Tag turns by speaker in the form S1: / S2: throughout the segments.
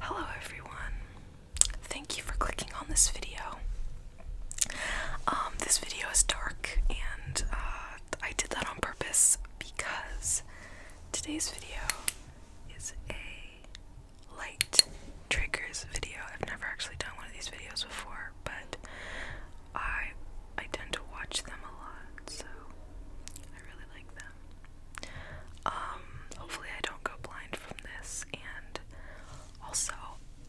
S1: Hello everyone. Thank you for clicking on this video. Um, this video is dark and uh, I did that on purpose because today's video is a light triggers video. I've never actually done one of these videos before, but I I tend to watch them a lot, so I really like them. Um, hopefully I don't go blind from this, and also,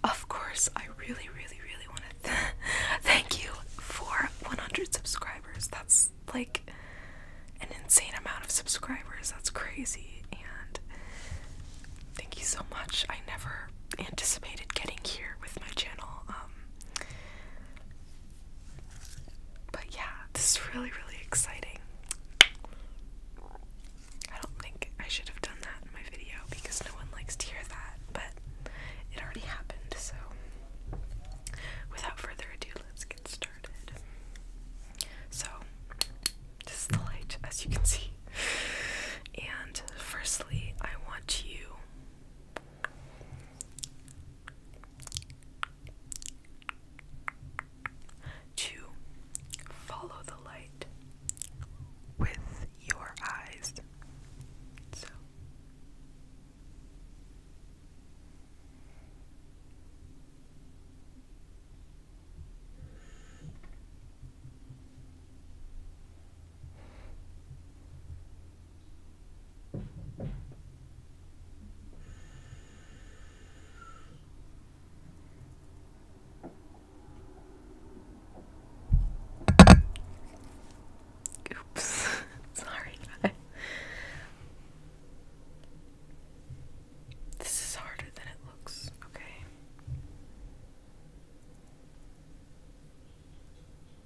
S1: of course, I really, really, really want to thank you for 100 subscribers. That's like an insane amount of subscribers. That's crazy, and thank you so much. I never anticipated getting here with my channel. Um, but yeah, this is really, really exciting. I don't think I should have done that in my video because no one likes to hear that, but it already happened, so without further ado, let's get started. So, this is the light, as you can see. And firstly, I want you Two, follow the light with your eyes. Oops, sorry This is harder than it looks, okay.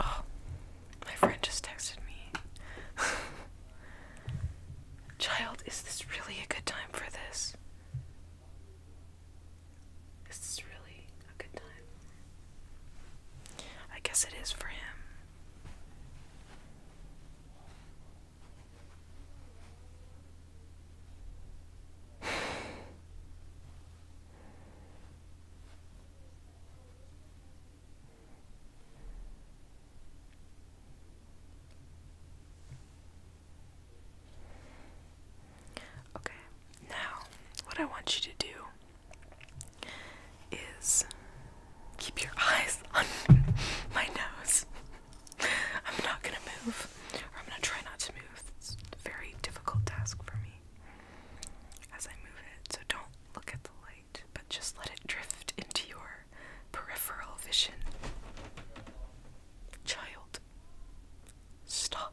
S1: Oh, my friend just texted me. Child, is this really a good time for this? Is this really a good time? I guess it is for him. Okay, now what I want you to do is keep your eyes on my nose. I'm not gonna move, or I'm gonna try not to move. It's a very difficult task for me as I move it, so don't look at the light, but just let it drift into your peripheral vision. Child, stop.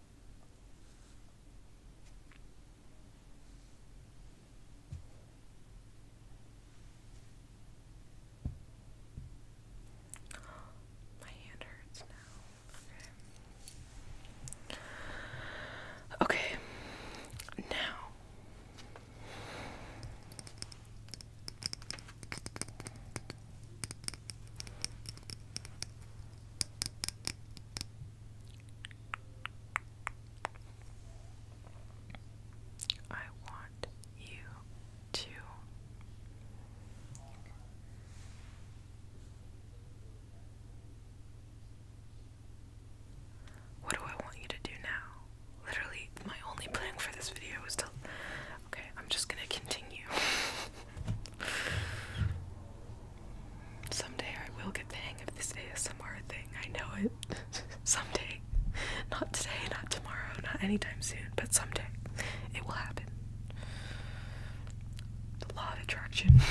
S1: My hand hurts now. Okay. Okay. Now. I want you to What do I want you to do now? Literally, my only plan for this video is to Okay, I'm just gonna continue. Someday I will get the hang of this ASMR thing. I know it. someday. Not today, not tomorrow, not anytime soon, but someday it will happen. The law of attraction.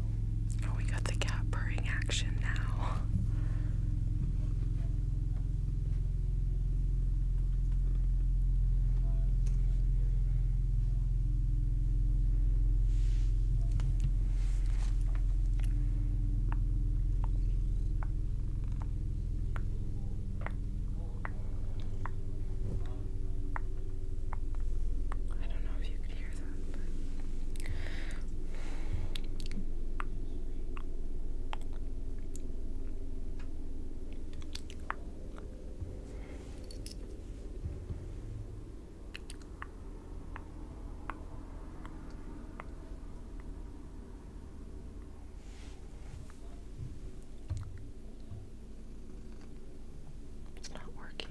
S1: Oh, we got the cat purring action now. I don't know if you could hear hear that, it's not working.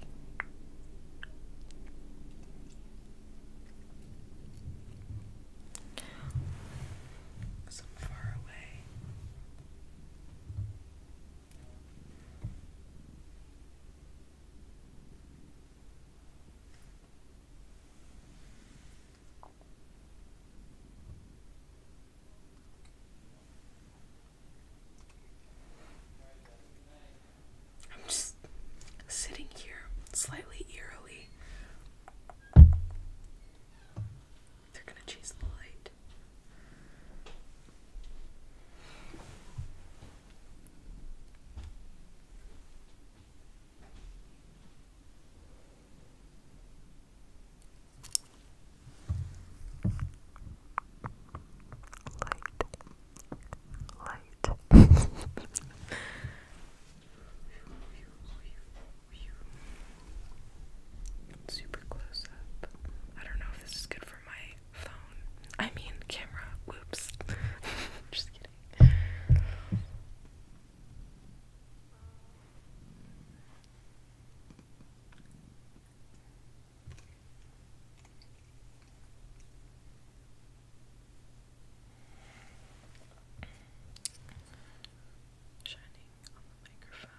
S1: Some far away. I'm just sitting here slightly eerily. They're gonna chase the light. Light light. Super close up. I don't know if this is good for my phone. I mean, camera. Whoops. Just kidding. Shining on the microphone.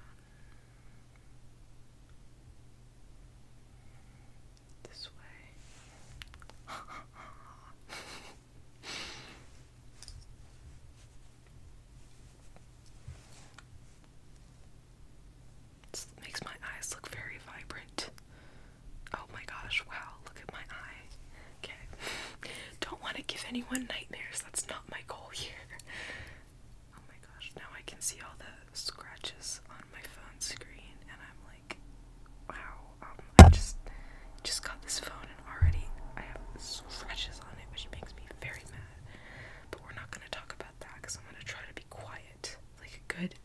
S1: This way. It makes my eyes look very vibrant. Oh my gosh, wow, look at my eye. Okay. Don't want to give anyone nightmares. That's not my goal here. Oh my gosh, now I can see all the scratches on my phone screen and I'm like, wow, um, I just just got this phone and already I have scratches on it, which makes me very mad. But we're not going to talk about that because I'm going to try to be quiet like a good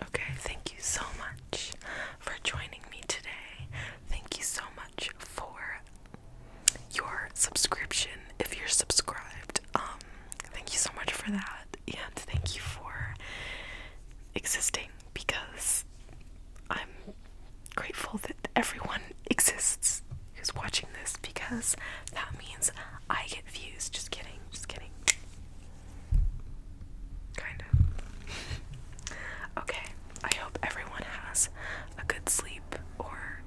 S1: Okay, thank you so much for joining me today. Thank you so much for your subscription if you're subscribed. Um, thank you so much for that, and thank you for existing because I'm grateful that everyone exists who's watching this because that means I get views. Just kidding, just kidding. Kind of. okay, I hope everyone has a good sleep or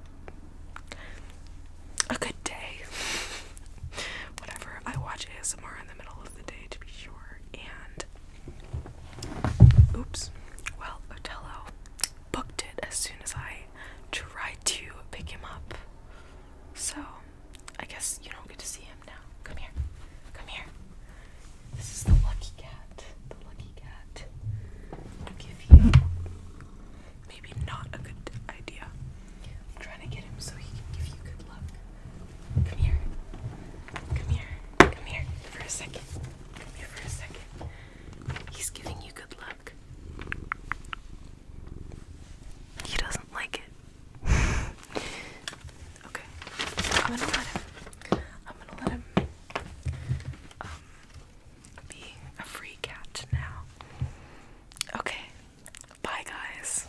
S1: a good day. Whatever. I watch ASMR in the middle of the day to be sure, and Oops. Well, Otello booked it as soon as I tried to pick him up. So, I guess you don't get to see him now. Come here. Come here. This is the lucky cat. The lucky cat. I'll give you. Maybe not a good idea. I'm trying to get him so he can give you good luck. Come here. Come here. Come here for a second. Come here for a second. He's giving you good luck. He doesn't like it. okay. I'm gonna let him. I'm gonna let him um be a free cat now. Okay. Bye guys.